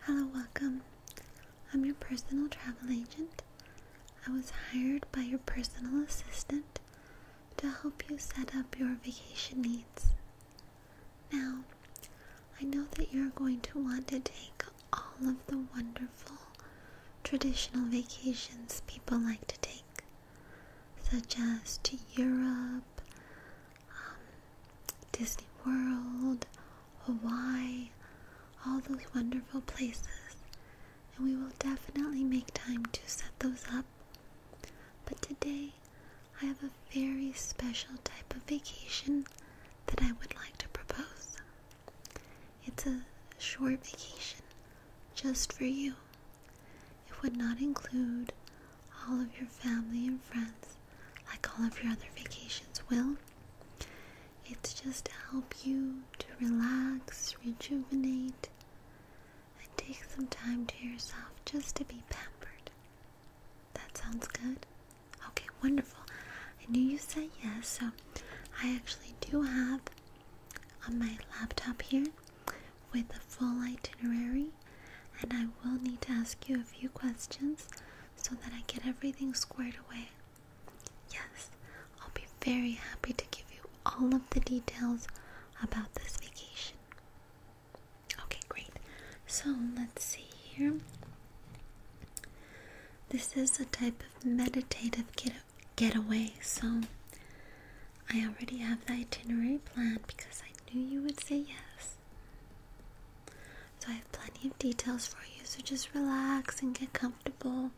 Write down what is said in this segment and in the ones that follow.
Hello, welcome. I'm your personal travel agent. I was hired by your personal assistant to help you set up your vacation needs. Now, I know that you're going to want to take all of the wonderful traditional vacations people like to take, such as to Europe, um, Disney World, Hawaii, all those wonderful places. And we will definitely make time to set those up. But today, I have a very special type of vacation that I would like to propose. It's a short vacation just for you. It would not include all of your family and friends like all of your other vacations will. It's just to help you to relax, rejuvenate, and take some time to yourself just to be pampered. That sounds good? Okay, wonderful. I knew you said yes, so I actually do have on my laptop here with the full itinerary, and I will need to ask you a few questions so that I get everything squared away. Yes, I'll be very happy to give you all of the details about this vacation. Okay, great. So let's see here. This is a type of meditative kiddo Get away. so I already have the itinerary planned because I knew you would say yes. So I have plenty of details for you, so just relax and get comfortable.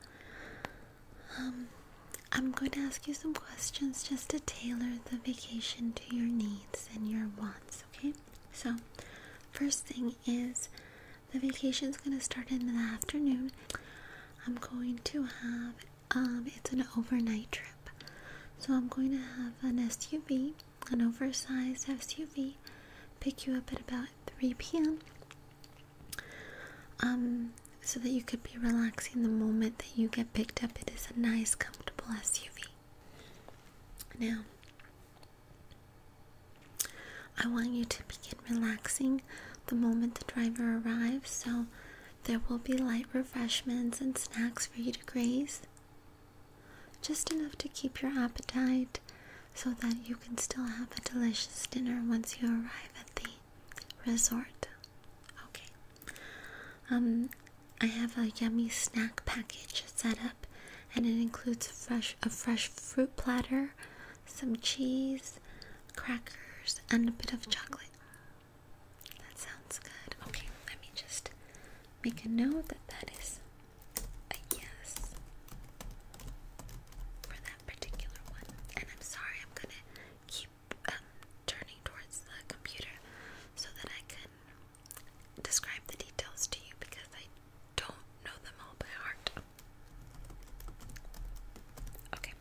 Um, I'm going to ask you some questions just to tailor the vacation to your needs and your wants, okay? So, first thing is the vacation is gonna start in the afternoon. I'm going to have um it's an overnight trip. So I'm going to have an SUV, an oversized SUV, pick you up at about 3 p.m. Um so that you could be relaxing the moment that you get picked up. It is a nice comfortable SUV. Now I want you to begin relaxing the moment the driver arrives, so there will be light refreshments and snacks for you to graze. Just enough to keep your appetite so that you can still have a delicious dinner once you arrive at the resort. Okay. Um I have a yummy snack package set up and it includes fresh a fresh fruit platter, some cheese, crackers, and a bit of chocolate. That sounds good. Okay, let me just make a note that that is a yes for that particular one. And I'm sorry, I'm gonna keep um, turning towards the computer so that I can describe the details to you because I don't know them all by heart. Okay.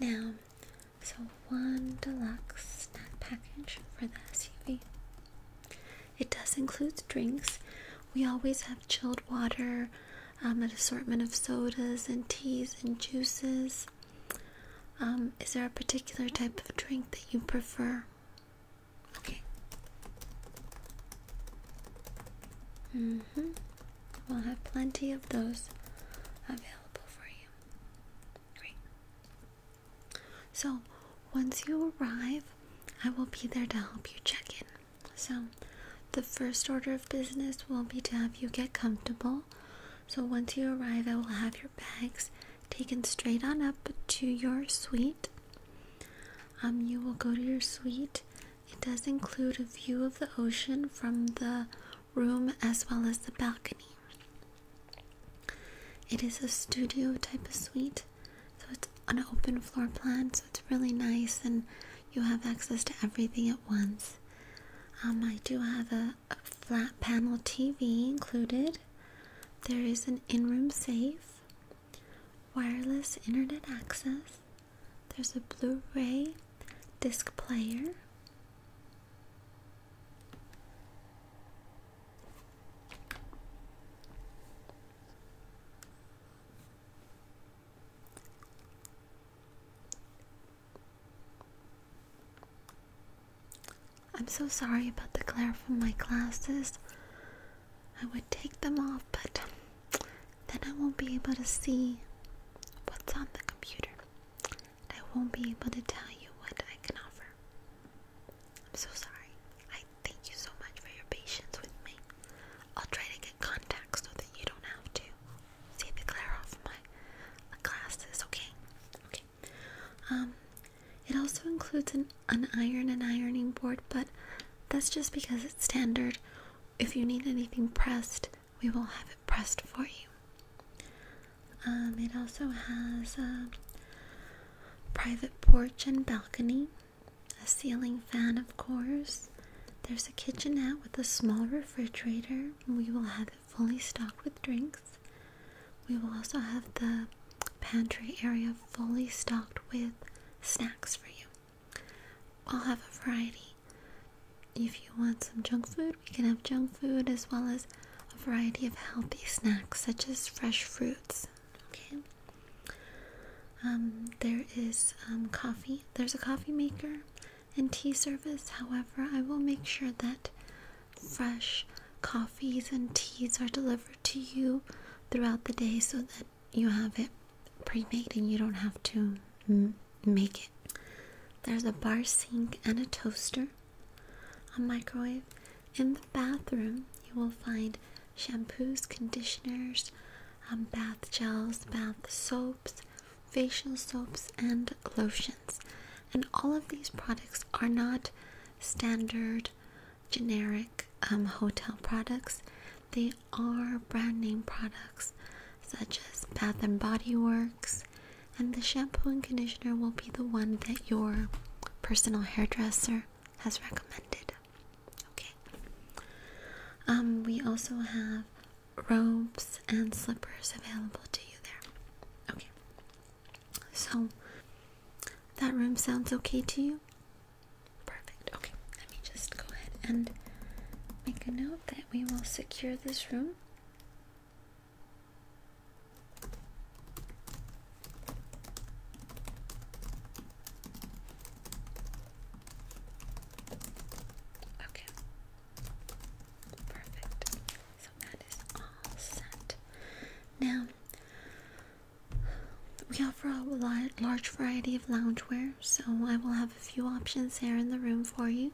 Now, so one deluxe snack package for the SUV. It does include drinks. We always have chilled water, um, an assortment of sodas and teas and juices. Um, is there a particular type of drink that you prefer? Okay. Mm hmm. We'll have plenty of those available for you. Great. So, once you arrive, I will be there to help you check in. So, the first order of business will be to have you get comfortable. So, once you arrive, I will have your bags taken straight on up to your suite. Um, you will go to your suite. It does include a view of the ocean from the room as well as the balcony. It is a studio type of suite, so it's an open floor plan, so it's really nice and you have access to everything at once. Um, I do have a flat panel TV included. There is an in room safe wireless internet access. There's a Blu ray disc player. I'm so sorry about the glare from my glasses. I would take them off, but then I won't be able to see what's on the computer. I won't be able to tell you what I can offer. I'm so sorry. I thank you so much for your patience with me. I'll try to get contact so that you don't have to. take the glare off my glasses, okay? Okay. Um, it also includes an an iron and ironing board, but that's just because it's standard. If you need anything pressed, we will have it pressed for you. Um, it also has a private porch and balcony, a ceiling fan, of course. There's a kitchenette with a small refrigerator. We will have it fully stocked with drinks. We will also have the pantry area fully stocked with snacks for you. I'll have a variety. If you want some junk food, we can have junk food as well as a variety of healthy snacks such as fresh fruits. Okay. Um, there is um, coffee. There's a coffee maker and tea service. However, I will make sure that fresh coffees and teas are delivered to you throughout the day so that you have it pre-made and you don't have to make it. There's a bar sink and a toaster, a microwave. In the bathroom, you will find shampoos, conditioners, um, bath gels, bath soaps, facial soaps, and lotions. And all of these products are not standard generic um, hotel products. They are brand name products such as Bath and Body Works, and the shampoo and conditioner will be the one that your personal hairdresser has recommended. Okay. Um, we also have robes and slippers available to you there. Okay. So that room sounds okay to you? Perfect. Okay, let me just go ahead and make a note that we will secure this room. Okay. Perfect. So that is all set. Now, we offer a large variety of loungewear, so I will have a few options there in the room for you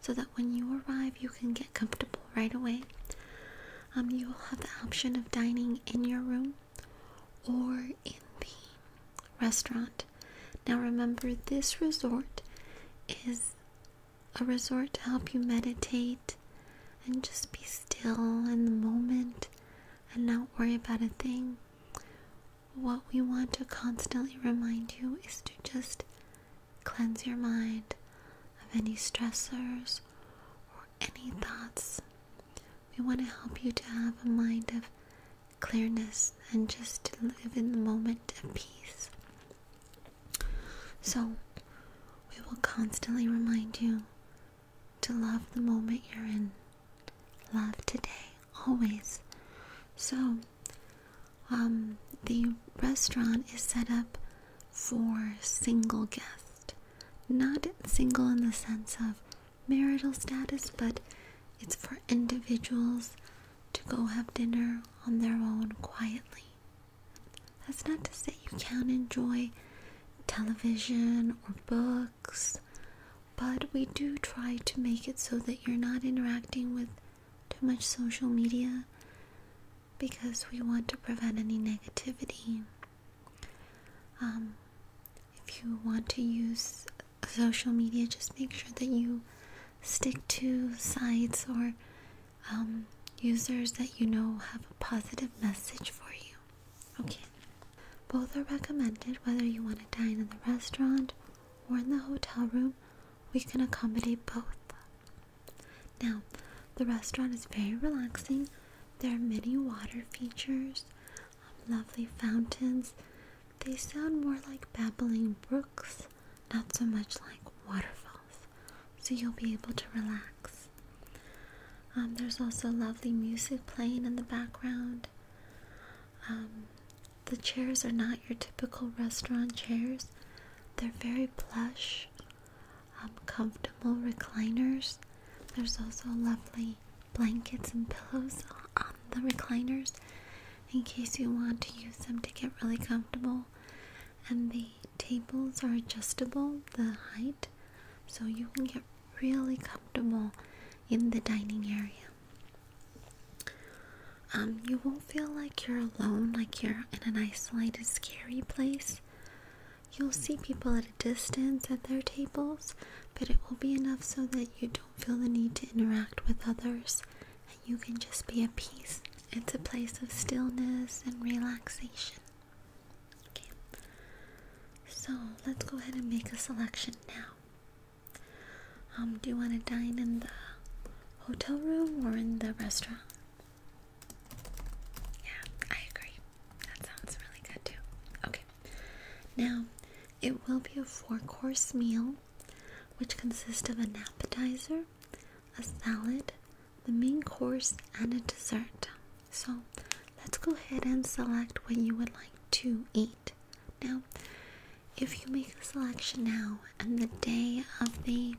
so that when you arrive, you can get comfortable right away. Um, you will have the option of dining in your room or in the restaurant. Now, remember, this resort is a resort to help you meditate and just be still in the moment and not worry about a thing. What we want to constantly remind you is to just cleanse your mind of any stressors or any thoughts. We want to help you to have a mind of clearness and just to live in the moment of peace. So, we will constantly remind you to love the moment you're in. Love today, always. So, um, the restaurant is set up for single guests. Not single in the sense of marital status, but it's for individuals to go have dinner on their own quietly. That's not to say you can't enjoy television or books, but we do try to make it so that you're not interacting with too much social media because we want to prevent any negativity. Um, if you want to use social media, just make sure that you stick to sites or um, users that you know have a positive message for you. Okay. Both are recommended whether you want to dine in the restaurant or in the hotel room. We can accommodate both. Now, the restaurant is very relaxing. There are many water features, um, lovely fountains. They sound more like babbling brooks, not so much like waterfalls so you'll be able to relax. Um, there's also lovely music playing in the background. Um, the chairs are not your typical restaurant chairs, they're very plush, um, comfortable recliners. There's also lovely blankets and pillows on the recliners in case you want to use them to get really comfortable and the tables are adjustable, the height, so you can get really comfortable in the dining area. Um, you won't feel like you're alone, like you're in an isolated, scary place. You'll see people at a distance at their tables, but it will be enough so that you don't feel the need to interact with others and you can just be at peace. It's a place of stillness and relaxation. Okay, so let's go ahead and make a selection now. Um, do you want to dine in the hotel room or in the restaurant? Yeah, I agree. That sounds really good too. Okay, now it will be a four course meal which consists of an appetizer, a salad, the main course, and a dessert. So let's go ahead and select what you would like to eat. Now, if you make a selection now and the day of the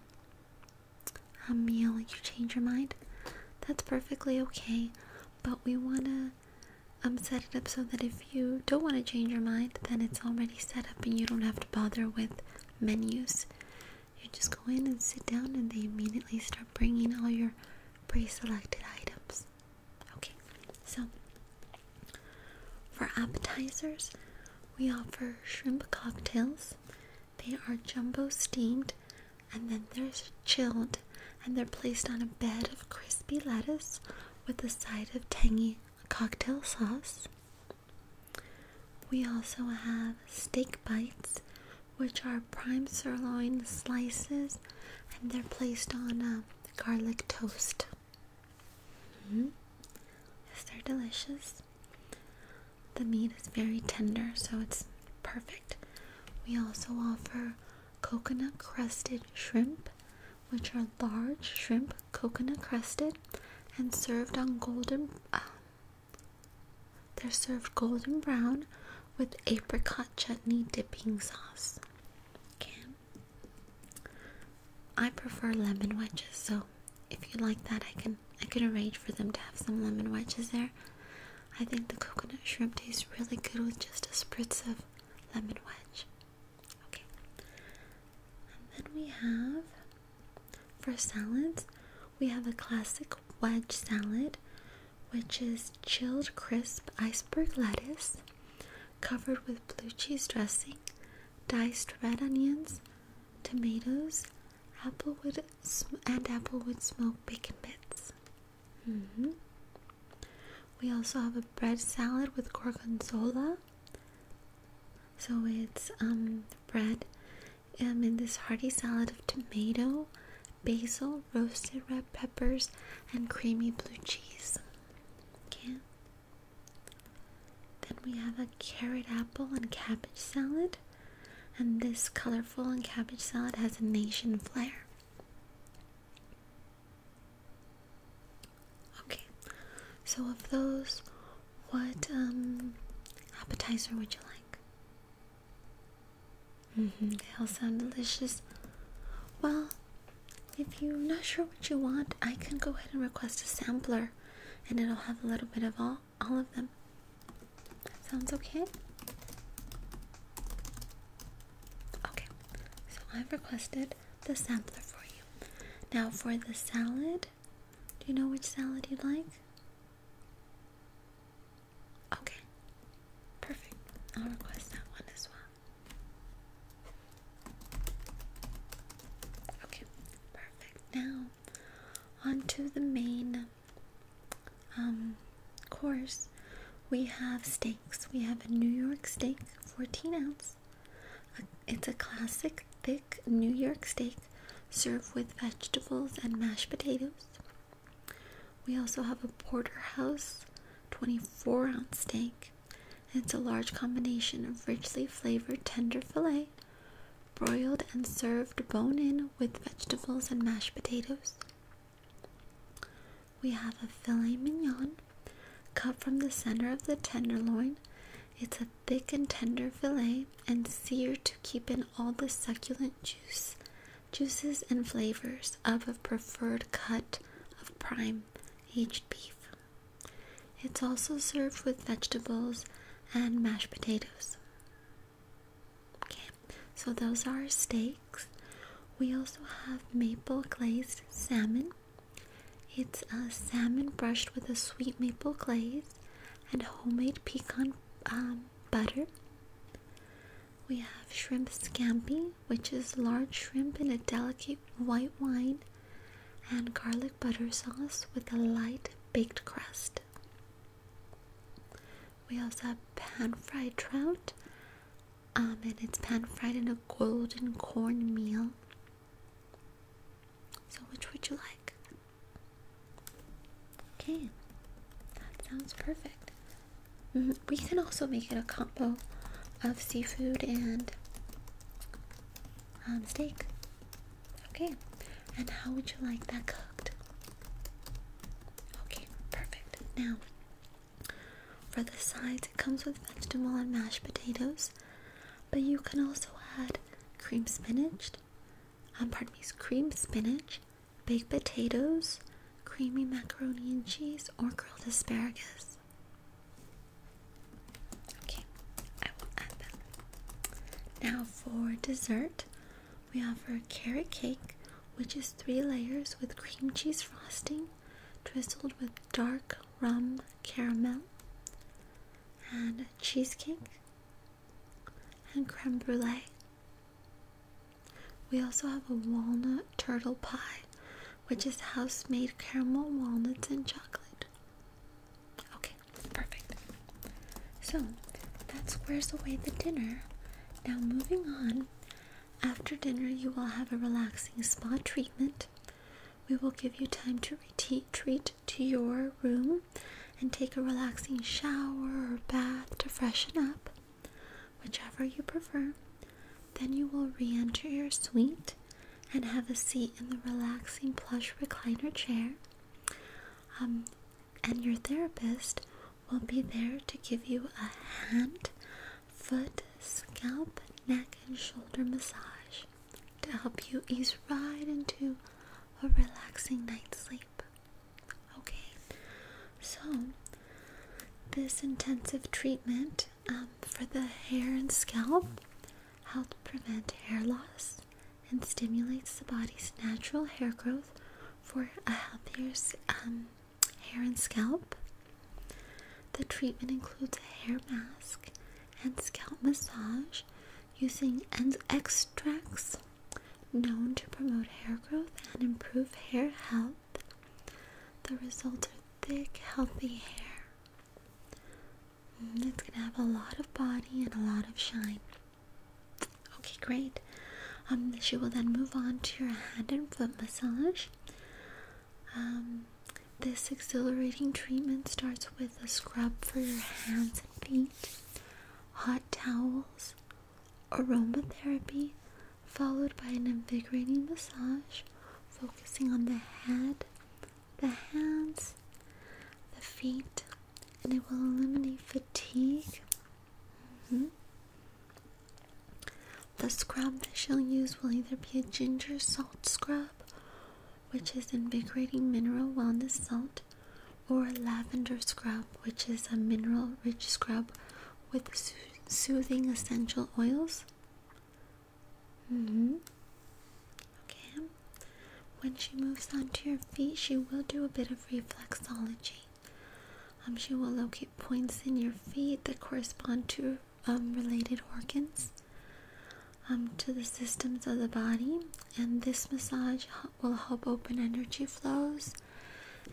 um, meal you change your mind, that's perfectly okay. But we want to um, set it up so that if you don't want to change your mind, then it's already set up and you don't have to bother with menus you just go in and sit down, and they immediately start bringing all your pre selected items. Okay, so for appetizers, we offer shrimp cocktails, they are jumbo steamed, and then they're chilled, and they're placed on a bed of crispy lettuce with a side of tangy cocktail sauce. We also have steak bites, which are prime sirloin slices, and they're placed on uh, garlic toast. Mm-hmm. Yes, they're delicious. The meat is very tender, so it's perfect. We also offer coconut crusted shrimp, which are large shrimp coconut crusted and served on golden um, they're served golden brown with apricot chutney dipping sauce. Okay. I prefer lemon wedges, so if you like that, I can I can arrange for them to have some lemon wedges there. I think the coconut shrimp tastes really good with just a spritz of lemon wedge. Okay. And then we have for salads, we have a classic wedge salad, which is chilled crisp iceberg lettuce covered with blue cheese dressing, diced red onions, tomatoes, applewood, and applewood smoked bacon bits. Mm-hmm. We also have a bread salad with gorgonzola. So it's um bread and um, in this hearty salad of tomato, basil, roasted red peppers, and creamy blue cheese. Okay. Then we have a carrot apple and cabbage salad. And this colorful and cabbage salad has a nation flair. Okay, so of those, what um appetizer would you like? Mm-hmm. they all sound delicious. Well, if you're not sure what you want, I can go ahead and request a sampler, and it'll have a little bit of all all of them. That sounds okay. Okay, so I've requested the sampler for you. Now for the salad, do you know which salad you'd like? Okay, perfect. I'll request that one as well. Okay, perfect. Now, on to the main um, course. We have steaks. We have a New York steak, 14 ounce. It's a classic thick New York steak served with vegetables and mashed potatoes. We also have a porterhouse 24 ounce steak. It's a large combination of richly flavored tender filet, broiled and served bone in with vegetables and mashed potatoes. We have a filet mignon cut from the center of the tenderloin it's a thick and tender fillet and seared to keep in all the succulent juices and flavors of a preferred cut of prime aged beef. It's also served with vegetables and mashed potatoes. Okay, so those are our steaks. We also have maple glazed salmon. It's a salmon brushed with a sweet maple glaze and homemade pecan um, butter. We have shrimp scampi, which is large shrimp in a delicate white wine and garlic butter sauce with a light baked crust. We also have pan fried trout, um, and it's pan fried in a golden corn meal so, which would you like? Okay, that sounds perfect. Mm-hmm, we can also make it a combo of seafood and um, steak. Okay, and how would you like that cooked? Okay, perfect. Now, for the sides, it comes with vegetable and mashed potatoes, but you can also add cream spinach, um, pardon me, cream spinach, baked potatoes, creamy macaroni and cheese, or grilled asparagus. Okay, I will add that. Now for dessert, we offer carrot cake, which is three layers with cream cheese frosting drizzled with dark rum caramel and cheesecake and creme brulee. We also have a walnut turtle pie, which is house made caramel, walnuts, and chocolate. Okay, perfect. So that squares away the dinner. Now, moving on, after dinner, you will have a relaxing spa treatment. We will give you time to treat to your room and take a relaxing shower or bath to freshen up, whichever you prefer. Then you will re enter your suite and have a seat in the relaxing plush recliner chair. Um, and your therapist will be there to give you a hand, foot, scalp, neck, and shoulder massage to help you ease right into a relaxing night's sleep. Okay, so this intensive treatment um, for the hair and scalp helps prevent hair loss and stimulates the body's natural hair growth for a healthier um, hair and scalp. The treatment includes a hair mask and scalp massage using end extracts known to promote hair growth and improve hair health. The results are thick, healthy hair. Mm, it's gonna have a lot of body and a lot of shine. Okay, great. Um, she will then move on to your hand and foot massage. Um, this exhilarating treatment starts with a scrub for your hands and feet, hot towels, aromatherapy, followed by an invigorating massage focusing on the head, the hands, the feet, and it will eliminate fatigue. Mm-hmm. The scrub that she'll use will either be a ginger salt scrub which is invigorating mineral wellness salt, or lavender scrub, which is a mineral rich scrub with soothing essential oils. Mm-hmm. Okay. When she moves on to your feet, she will do a bit of reflexology. Um, she will locate points in your feet that correspond to um, related organs um, to the systems of the body. And this massage will help open energy flows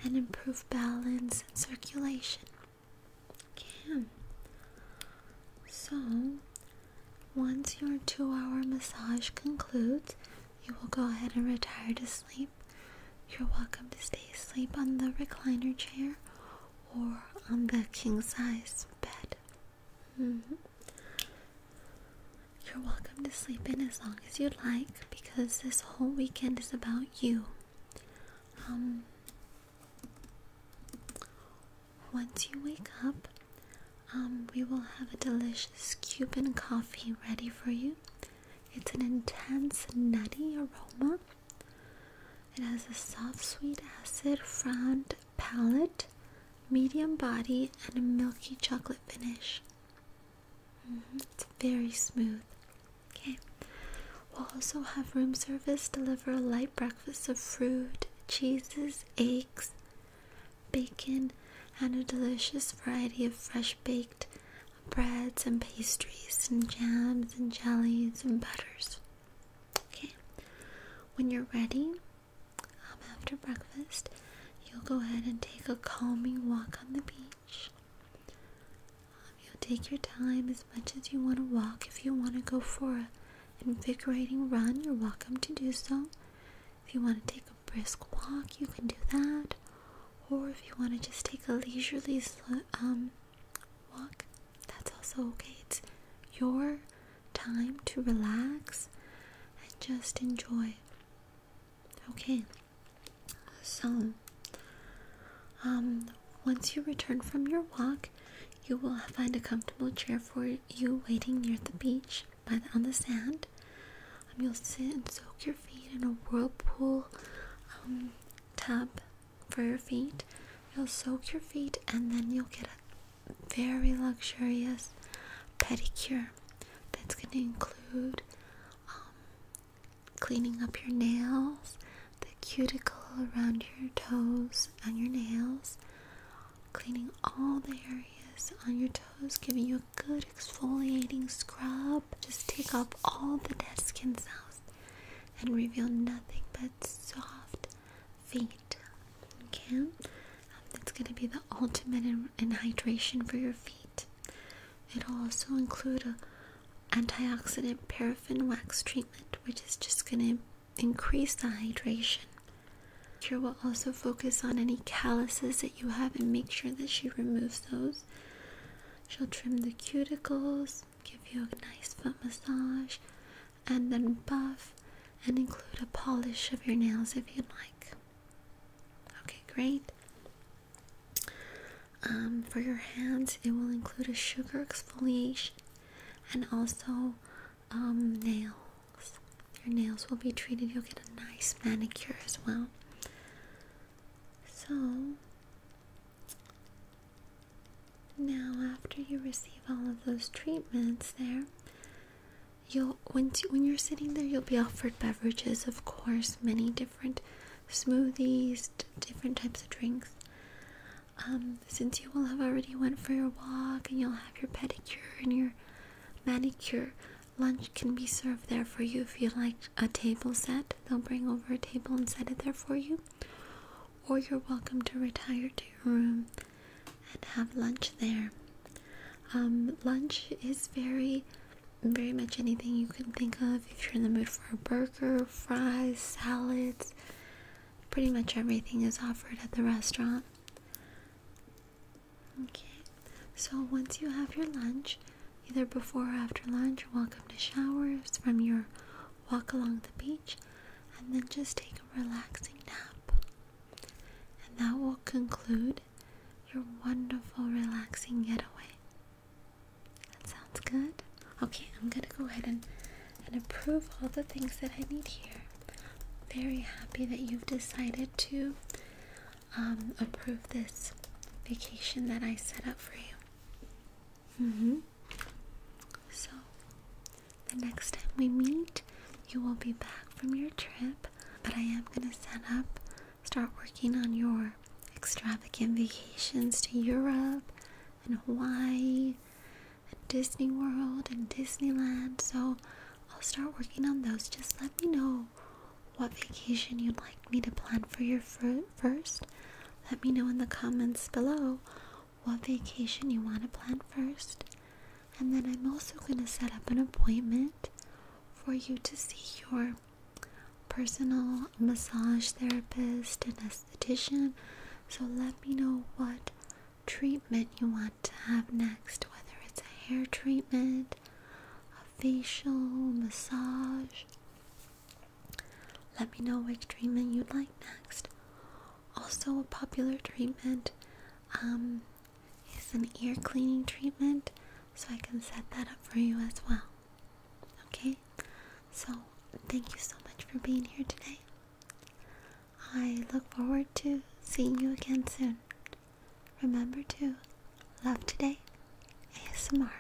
and improve balance and circulation. Okay. So, once your two hour massage concludes, you will go ahead and retire to sleep. You're welcome to stay asleep on the recliner chair or on the king size bed. Mm-hmm. You're welcome to sleep in as long as you'd like because this whole weekend is about you. Um, once you wake up, um, we will have a delicious Cuban coffee ready for you. It's an intense, nutty aroma it has a soft, sweet, acid round palate, medium body, and a milky chocolate finish. Mm-hmm. It's very smooth. Okay. We'll also have room service deliver a light breakfast of fruit, cheeses, eggs, bacon, and a delicious variety of fresh baked breads and pastries and jams and jellies and butters. Okay, when you're ready um, after breakfast, you'll go ahead and take a calming walk on the beach. Um, you'll take your time as much as you want to walk. If you want to go for an invigorating run, you're welcome to do so. If you want to take a brisk walk, you can do that. Or if you want to just take a leisurely, um, walk, that's also okay. It's your time to relax and just enjoy. Okay, so um, once you return from your walk, you will find a comfortable chair for you waiting near the beach by on the sand. and um, you'll sit and soak your feet in a whirlpool um, tub for your feet. You'll soak your feet and then you'll get a very luxurious pedicure that's going to include um, cleaning up your nails, the cuticle around your toes and your nails, cleaning all the areas on your toes, giving you a good exfoliating scrub. Just take off all the dead skin cells and reveal nothing but soft feet. Okay, um, that's gonna be the ultimate in, hydration for your feet. It'll also include a antioxidant paraffin wax treatment, which is just gonna increase the hydration. Cure will also focus on any calluses that you have and make sure that she removes those. She'll trim the cuticles, give you a nice foot massage, and then buff and include a polish of your nails if you'd like. Okay, great. Um, for your hands, it will include a sugar exfoliation and also um, nails. Your nails will be treated. You'll get a nice manicure as well. So, now, after you receive all of those treatments, there, you'll when to, when you're sitting there, you'll be offered beverages, of course, many different smoothies, different types of drinks. Um, since you will have already went for your walk and you'll have your pedicure and your manicure, lunch can be served there for you if you like a table set. They'll bring over a table and set it there for you or you're welcome to retire to your room and have lunch there. Um, lunch is very, very much anything you can think of. If you're in the mood for a burger, fries, salads, pretty much everything is offered at the restaurant. Okay, so once you have your lunch, either before or after lunch, you're welcome to showers from your walk along the beach, and then just take a relaxing nap. And that will conclude your wonderful, relaxing getaway. That sounds good. Okay, I'm gonna go ahead and, and approve all the things that I need here. Very happy that you've decided to um, approve this vacation that I set up for you. Mm hmm so, the next time we meet, you will be back from your trip, but I am going to set up, start working on your extravagant vacations to Europe and Hawaii and Disney World and Disneyland. So, I'll start working on those. Just let me know what vacation you'd like like me to plan for your first? Let me know in the comments below what vacation you want to plan first. And then I'm also going to set up an appointment for you to see your personal massage therapist and esthetician. So let me know what treatment you want to have next, whether it's a hair treatment, a facial, massage. Let me know which treatment you'd like next. Also, a popular treatment um, is an ear cleaning treatment, so I can set that up for you as well. Okay? So, thank you so much for being here today. I look forward to seeing you again soon. Remember to love today, ASMR.